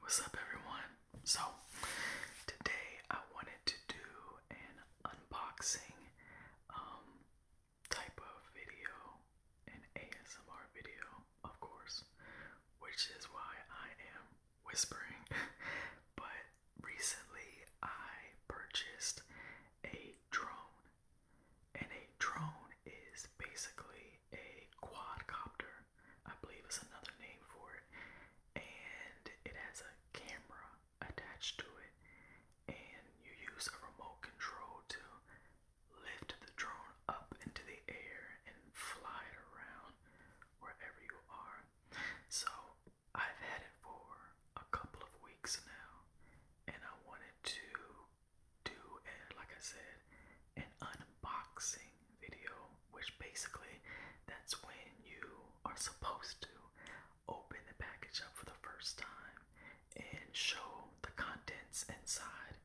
What's up, everyone? So, today I wanted to do an unboxing um, type of video, an ASMR video, of course, which is why I am whispering. but recently I purchased a drone, and a drone is basically a quadcopter, I believe is another name for it, and it has a camera attached to it, and you use a remote control to lift the drone up into the air and fly it around wherever you are. So I've had it for a couple of weeks now, and I wanted to do, like I said, an unboxing video, which basically that's when you are supposed to open the package up for the first time and show the contents inside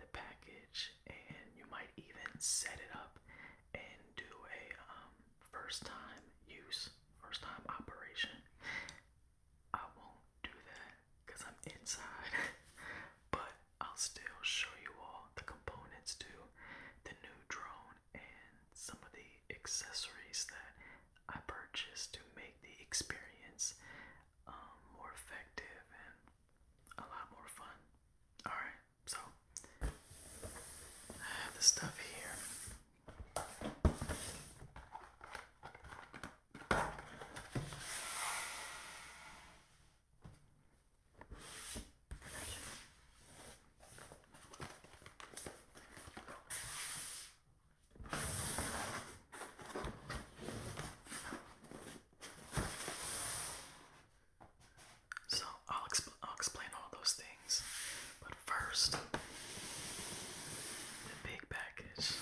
the package, and you might even set it up and do a um, first time use first time operation. I won't do that because I'm inside, but I'll still show you all the components to the new drone and some of the accessories that I purchased to make the experience um, more effective and a lot more fun. Alright, so I have the stuff here. So I'll, exp I'll explain all those things but first, the big package.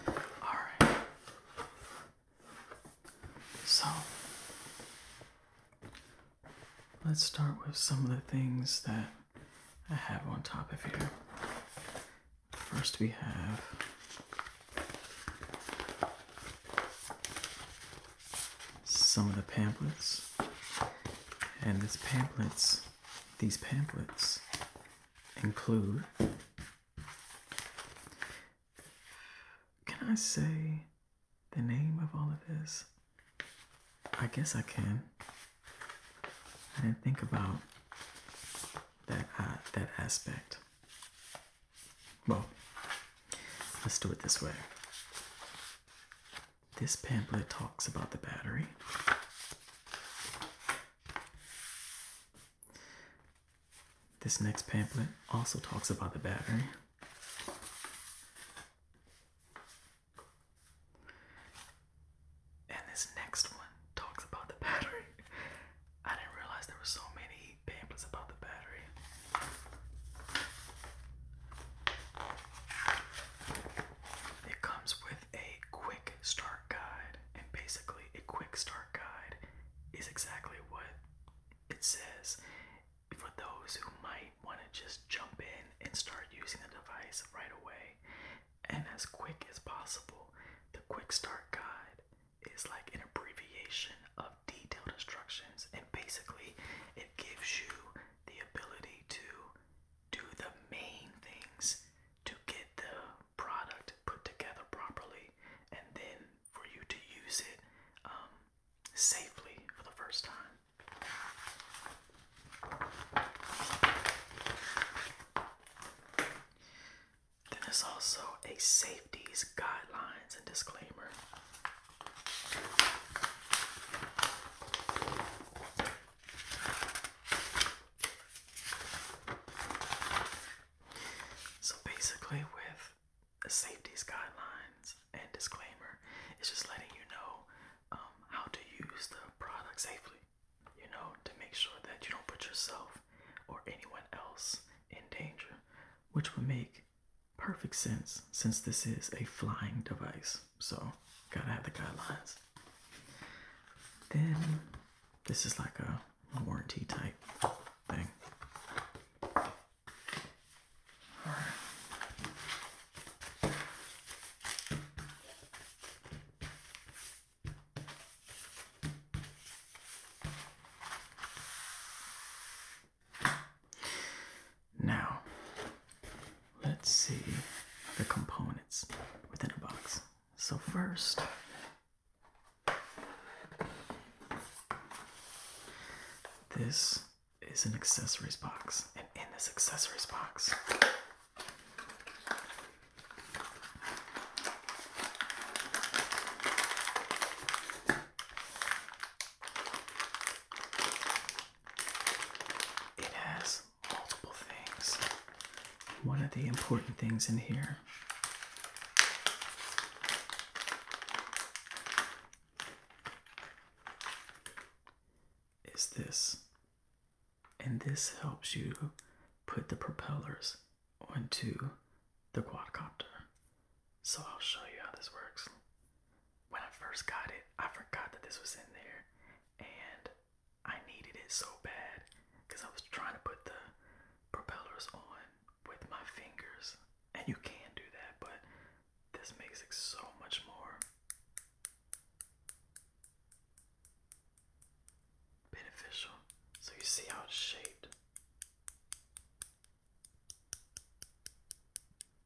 All right. So, let's start with some of the things that I have on top of here. First, we have some of the pamphlets, and these pamphlets, these pamphlets include can I say the name of all of this? I guess I can. I didn't think about that uh, that aspect. Well, let's do it this way. This pamphlet talks about the battery. This next pamphlet also talks about the battery. And this next one talks about the battery. I didn't realize there were so many pamphlets about the battery. It comes with a quick start guide, and basically, a quick start guide is exactly what it says for those who might want to just jump in and start using the device right away and as quick as possible. The Quick Start Guide is like an abbreviation of detailed instructions, and basically, it gives you the ability to do the main things to get the product put together properly and then for you to use it um, safely for the first time. Then there's also a safeties guidelines and disclaimer. So basically, with the safety guidelines and disclaimer. It's just letting you know um, how to use the product safely, you know, to make sure that you don't put yourself or anyone else in danger, which would make perfect sense since this is a flying device. So, gotta have the guidelines. Then, this is like a warranty type thing. Now, let's see the components within a box. So, first, this is an accessories box, and in this accessories box, it has multiple things. One of the important things in here is this. And this helps you put the propellers onto the quadcopter. So I'll show you how this works. When I first got it, I forgot that this was in there and I needed it so bad because I was trying to put the propellers on with my fingers. And you can do that, but this makes it so much more beneficial. So you see how it's shaped.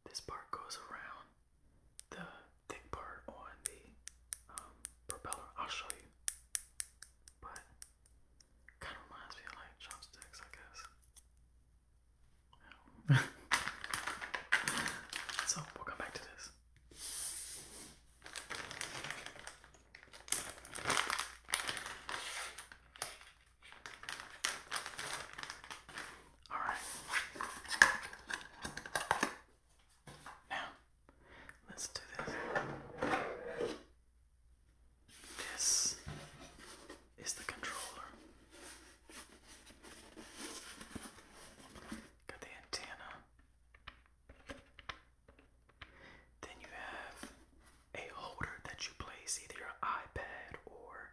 This part goes around the thick part on the um, propeller. I'll show you. But Kind of reminds me of like chopsticks, I guess. so we'll come back to this. All right. Now, let's do this. This is the controller. Got the antenna. Then you have a holder that you place either your iPad or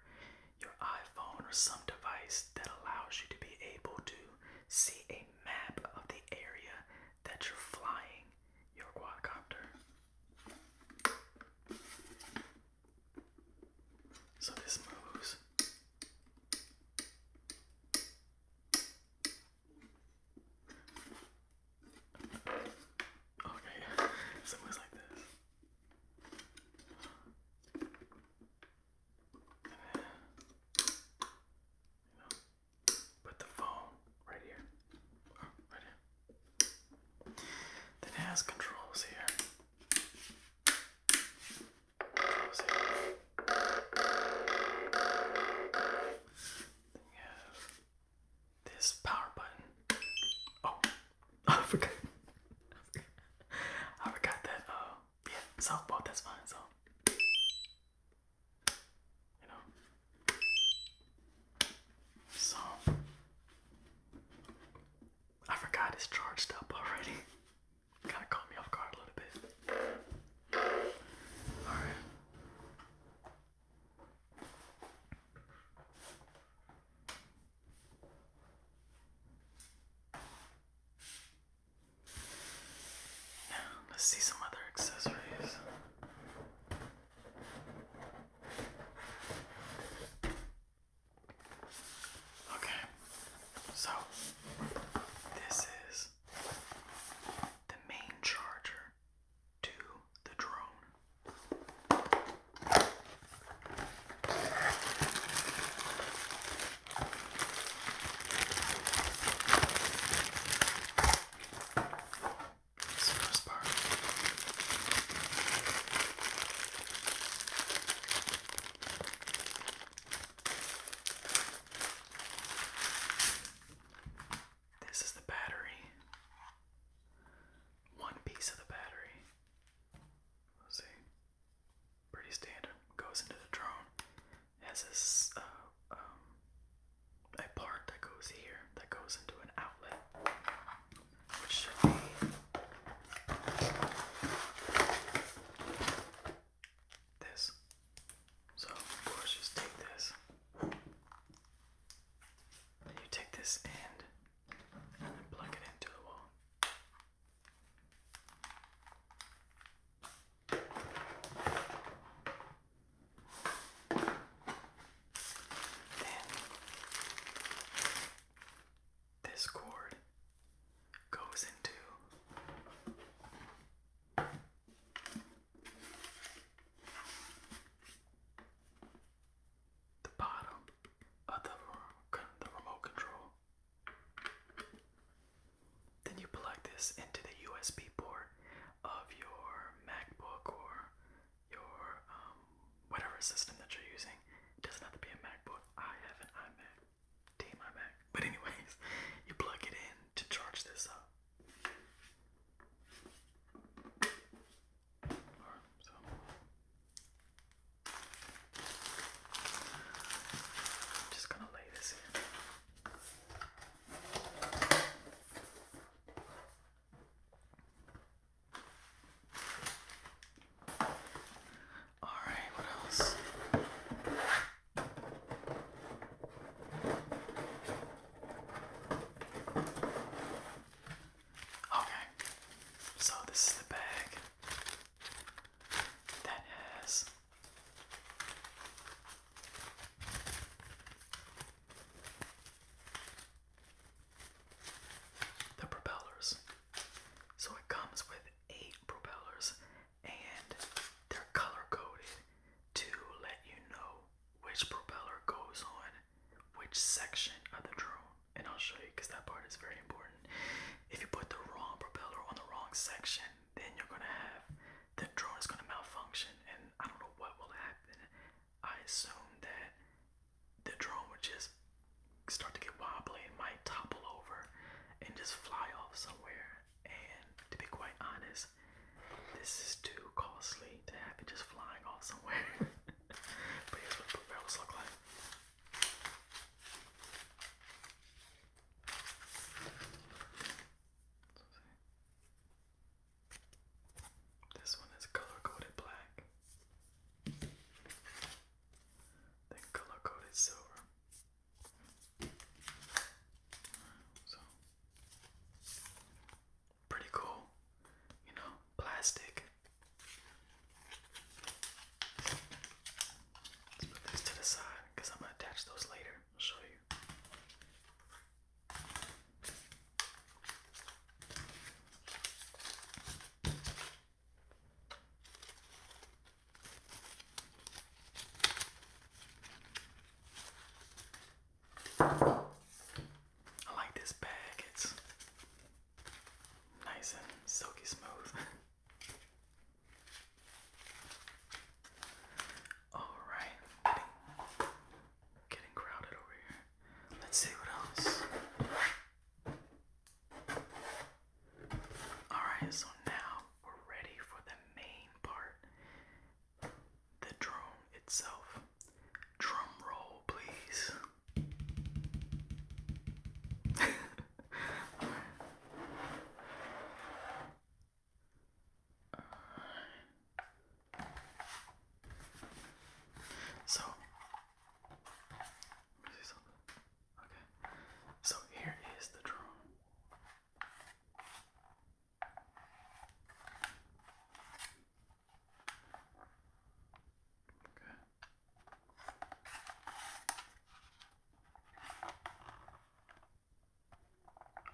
your iPhone or some device that allows you to be able to see a map of the area that you're flying your quadcopter. So this moves. Okay, so it moves like this. put the phone right here. Oh, right here that has controls here. Controls have this power button. Oh, I forgot. I forgot that. Uh, yeah, softball. That's fine. So, you know. So I forgot it's charged up already. Kinda caught me off guard a little bit. Alright. Now let's see some other accessories. Okay, so this is the main charger to the drone this first part. This is the battery. One piece of the battery. Let's see. Pretty standard. Goes into the drone. has this uh, um, a part that goes here that goes into an outlet should be this. So, of course, just take this. And you take this end and plug it into the wall. Then this cord goes into the bottom of the, remote control. Then you plug this into the USB port of your MacBook or your um, whatever system that you're using. It doesn't have to be a MacBook. I have an iMac, Team iMac. But anyways, you plug it in to charge this up. Or, so. I'm just gonna lay this in. Alright, what else? Okay, so this is the bag that has the propellers. So it comes with eight propellers and they're color coded to let you know which propeller goes on which section of the drone. And I'll show you because that part is very important. If you put the wrong propeller on the wrong section, then you're going to have the drone is going to malfunction and I don't know what will happen. I assume that the drone would just start to get wobbly and might topple over and just fly off somewhere. And to be quite honest, this is too costly to have it just flying off somewhere. but here's what the look like. This one is color coded black, then color coded silver. So, pretty cool, you know, plastic. Let's put this to the side because I'm going to attach those later. I'll show you. I like this bag, it's nice and silky smooth. All right, getting, crowded over here. Let's see what else. Alright, so now we're ready for the main part the drone itself. Drum roll, please. So, Okay. So here is the drone. Okay.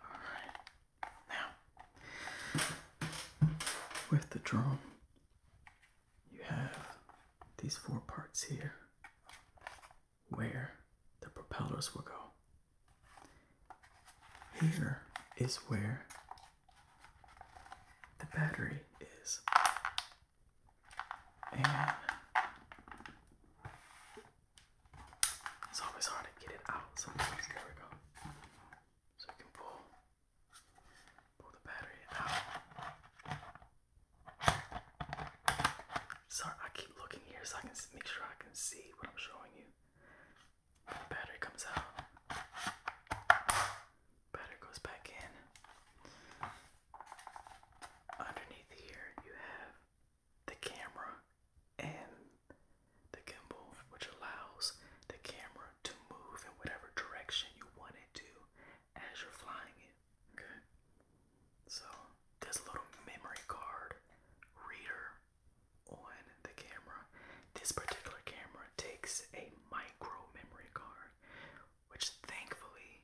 All right. Now, with the drum you have these four parts here where the propellers will go. Here is where the battery is. And it's always hard to get it out sometimes. There we go. So you can pull Pull the battery out. Sorry, I keep looking here so I can make sure I can see what I'm showing you. battery comes out. Battery goes back in. Underneath here, you have the camera and the gimbal, which allows the camera to move in whatever direction you want it to as you're flying it. Okay. So this little memory card reader on the camera. This particular camera takes a micro memory card, which thankfully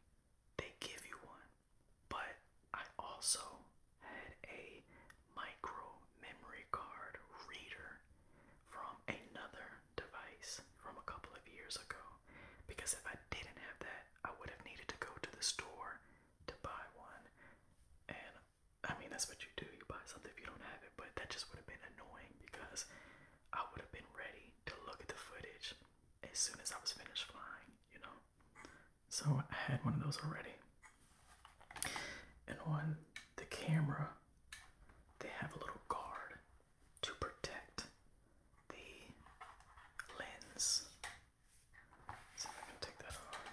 they give you one. But I also had a micro memory card reader from another device from a couple of years ago because if I didn't have that, I would have needed to go to the store to buy one. And I mean, that's what you do you buy something if you don't have it, but that just would have been annoying because I would have been ready to look at the footage as soon as I was finished flying, you know? So I had one of those already. And on the camera, they have a little guard to protect the lens. let I can take that off.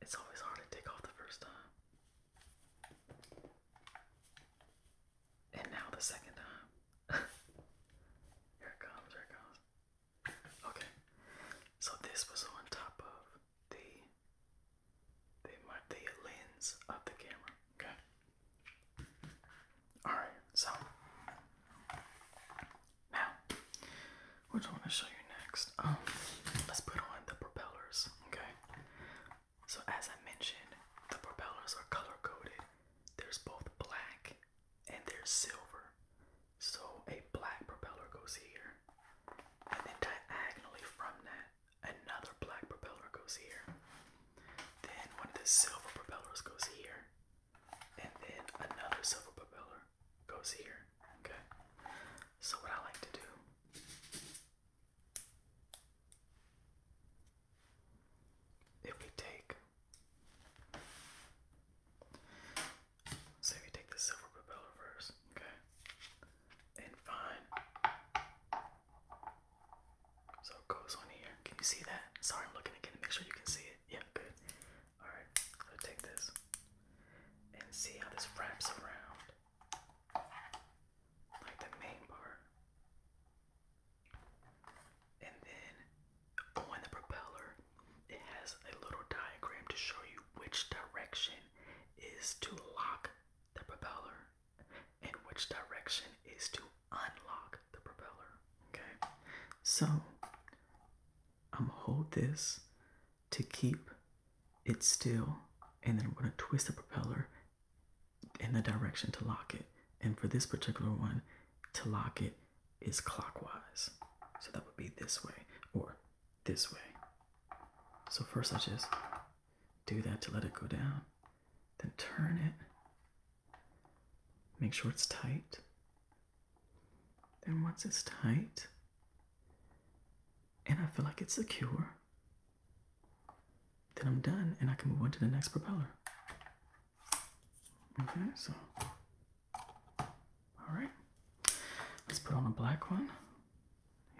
It's always hard to take off the first time. And now the second time. here it comes, here it comes. Okay, so this was on top of the the the lens of the camera. Okay. All right. So now, which I want to show you next? Um, let's put on the propellers. Okay. So as I mentioned, the propellers are color coded. There's both black and there's silver. So a black propeller goes here, and then diagonally from that, another black propeller goes here. Then one of the silver propellers goes here, and then another silver propeller goes here. Okay. So what I like to do if we take so we take the silver propeller first, okay? And fine. So it goes on here. Can you see that? Sorry, I'm looking again to make sure you can see it. Yeah, good. Alright, Let me take this and see how this wraps around. Like the main part. And then on the propeller, it has a little diagram to show you which direction is to lock the propeller and which direction is to unlock the propeller. Okay, so I'm gonna hold this to keep it still, and then I'm gonna twist the propeller in the direction to lock it. And for this particular one, to lock it, is clockwise. So that would be this way or this way. So first I just do that to let it go down, then turn it, make sure it's tight. Then once it's tight, and I feel like it's secure, then I'm done and I can move on to the next propeller. Okay, so all right, let's put on a black one.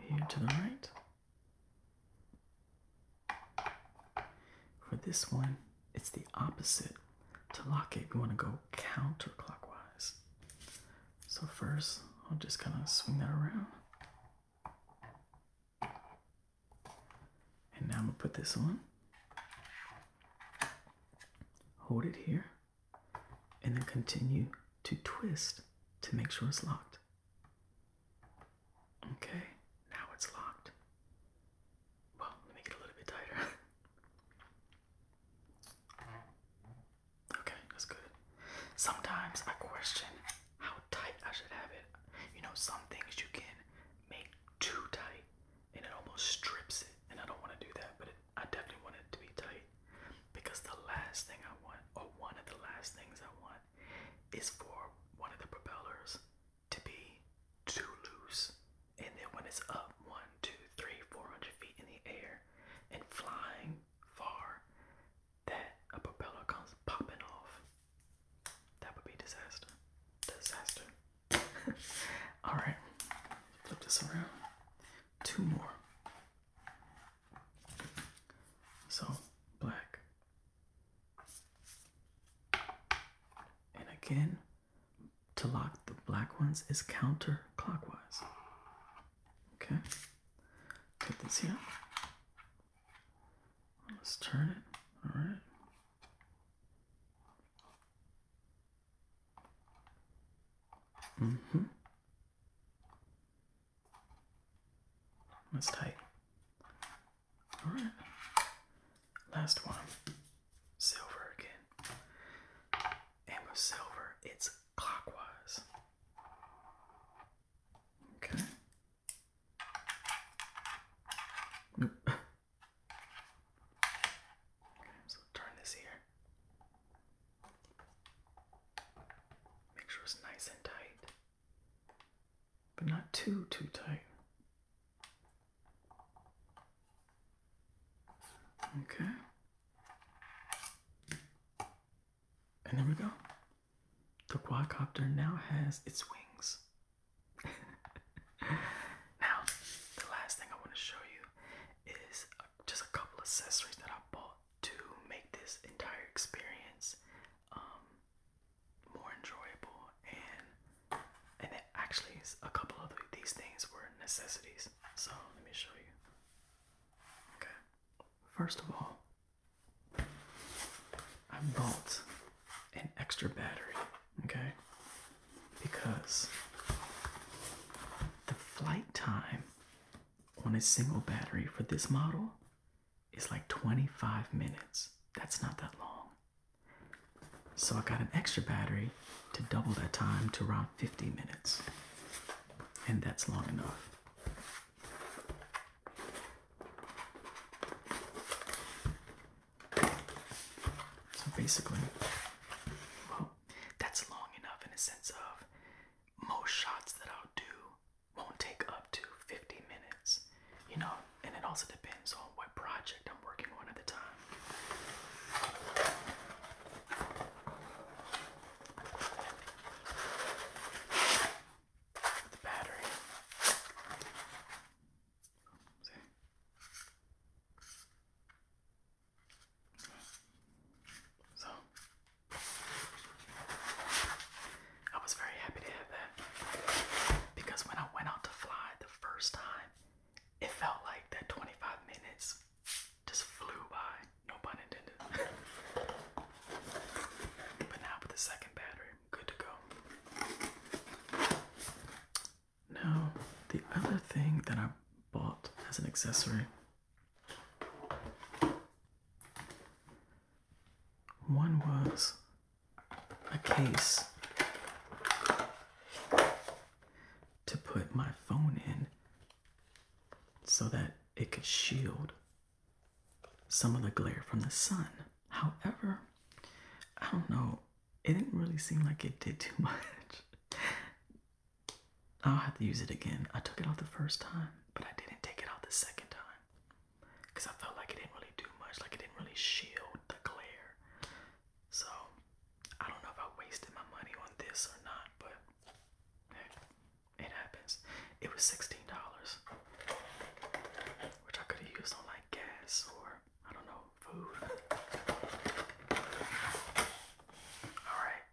Here to the right. For this one, it's the opposite. To lock it, we want to go counterclockwise. So first, I'll just kind of swing that around. And now I'm going to put this on. Hold it here and then continue to twist to make sure it's locked. Okay, now it's locked. Well, let me get a little bit tighter. okay, that's good. Sometimes I question how tight I should have it. You know, some things you can make too tight, and it almost strips it. And I don't want to do that, but I definitely want it to be tight because the last thing I want, or one of the last things I want, is for one of the propellers to be too loose. And then when it's up one, two, three, four hundred feet in the air and flying far, that a propeller comes popping off. That would be disaster. Disaster. All right, flip this around. Two more. So, black. And again, to lock the black ones is counter clockwise. Okay, put this here. Let's turn it. All right. Mm-hmm. That's tight. Alright. Last one. Silver again. And with silver, it's clockwise. Okay. So turn this here. Make sure it's nice and tight, but not too, too tight. Okay. And there we go. The quadcopter now has its wings. now, the last thing I want to show you is just a couple accessories that I bought to make this entire experience um, more enjoyable and and it actually a couple of these things were necessities. So let me show you. Okay. First of all, I bought an extra battery. Okay because the flight time on a single battery for this model is like 25 minutes. That's not that long. So I got an extra battery to double that time to around 50 minutes. And that's long enough. So basically, well, that's long enough in a sense of most shots that I'll do won't take up to 50 minutes, you know, and it also depends on what project I'm working on at the time. The battery. So I was very happy to have that because when I went out to fly the first time, it felt like that 25 minutes just flew by. No pun intended. but now with the second battery, I'm good to go. Now, the other thing that I bought as an accessory. One was a case to put my phone in so that it could shield some of the glare from the sun. However, I don't know, it didn't really seem like it did too much. I'll have to use it again. I took it out the first time, but I didn't take it out the second time because I felt like it didn't really do much, like it didn't really shield the glare. So I don't know if I wasted my money on this or not, but it happens. It was sixteen dollars, which I could have used on like gas or I don't know food. All right,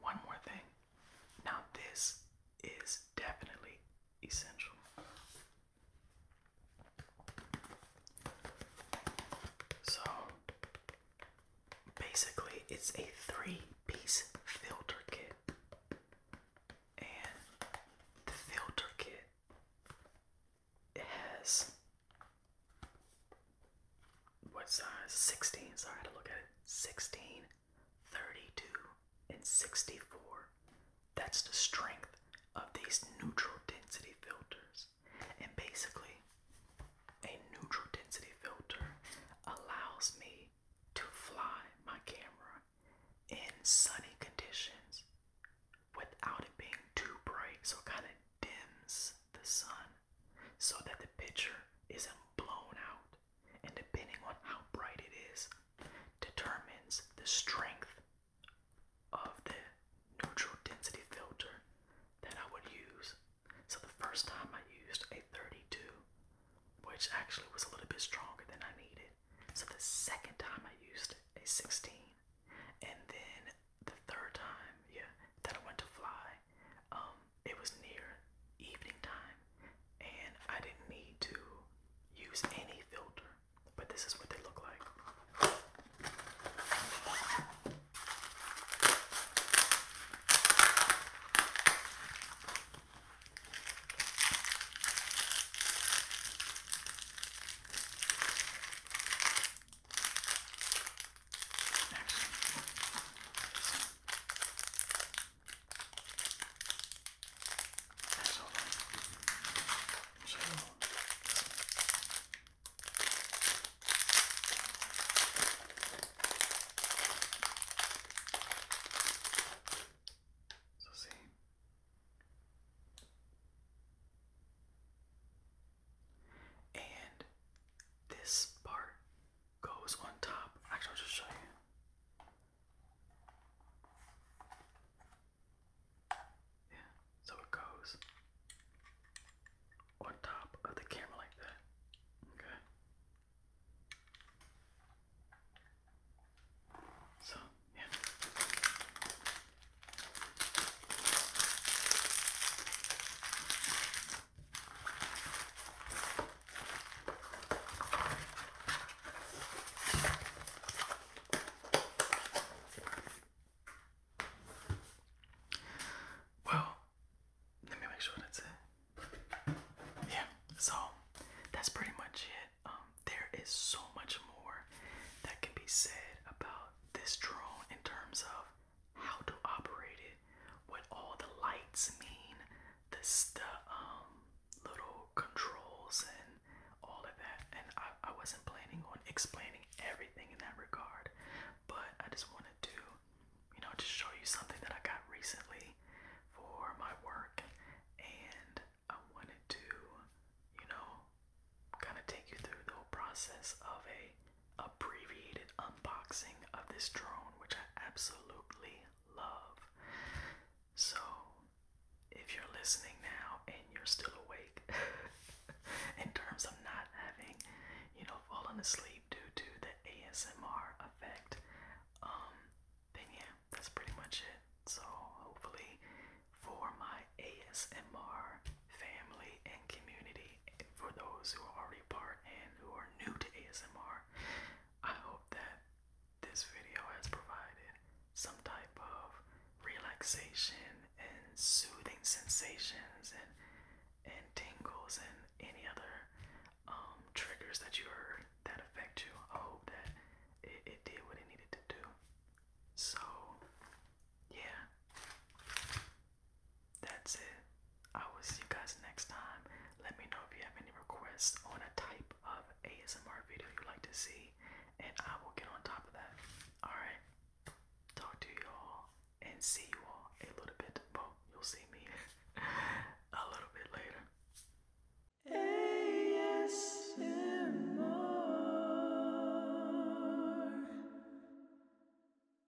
one more thing. Now, this is definitely essential. So, basically, it's a three piece filter kit. And the filter kit has what size? 16. Sorry, I had to look at it. 16, 32, and 64. That's the strength of these neutral density filters. And basically, a neutral density filter allows me to fly my camera in sunny conditions without it being too bright, so it kind of dims the sun so that the picture isn't blown out, and depending on how bright it is, determines the strength of the neutral density filter that I would use. So the first time I used a 32, which actually was a little bit stronger than I needed. So the second time I used a 16, and then the third time, yeah, that I went to fly, um, it was near evening time, and I didn't need to use any filter. But this is what they look like. That's all right. So, so see. And this part goes on top. Actually, I'll just show you. Yeah, so it goes on top of the camera like that. Okay. So, yeah. Well, let me make sure that's it. Yeah, so that's pretty much it. Um, there is so much more that can be said about this drone in terms of how to operate it, what all the lights mean, this the um little controls and all of that. And I, I wasn't planning on explaining everything in that regard, but I just wanted to, you know, just show you something that I got recently for my work and I wanted to, you know, kind of take you through the whole process of a abbreviated unboxing of this drone, which I absolutely love. So, if you're listening now and you're still awake, in terms of not having, you know, fallen asleep due to the ASMR effect, um, then yeah, that's pretty much it. So, hopefully, for my ASMR family and community, for those who are already part and who are new to ASMR, I hope that this video has provided some type of relaxation and soothing sensations and and tingles and any other um, triggers that you heard that affect you. I hope that it, it did what it needed to do. So, yeah that's it. I will see you guys next time. Let me know if you have any requests on a type of ASMR video you'd like to see, and I will get on top of that. Alright. Talk to you all and see you all a little bit. Well, you'll see me a little bit later. ASMR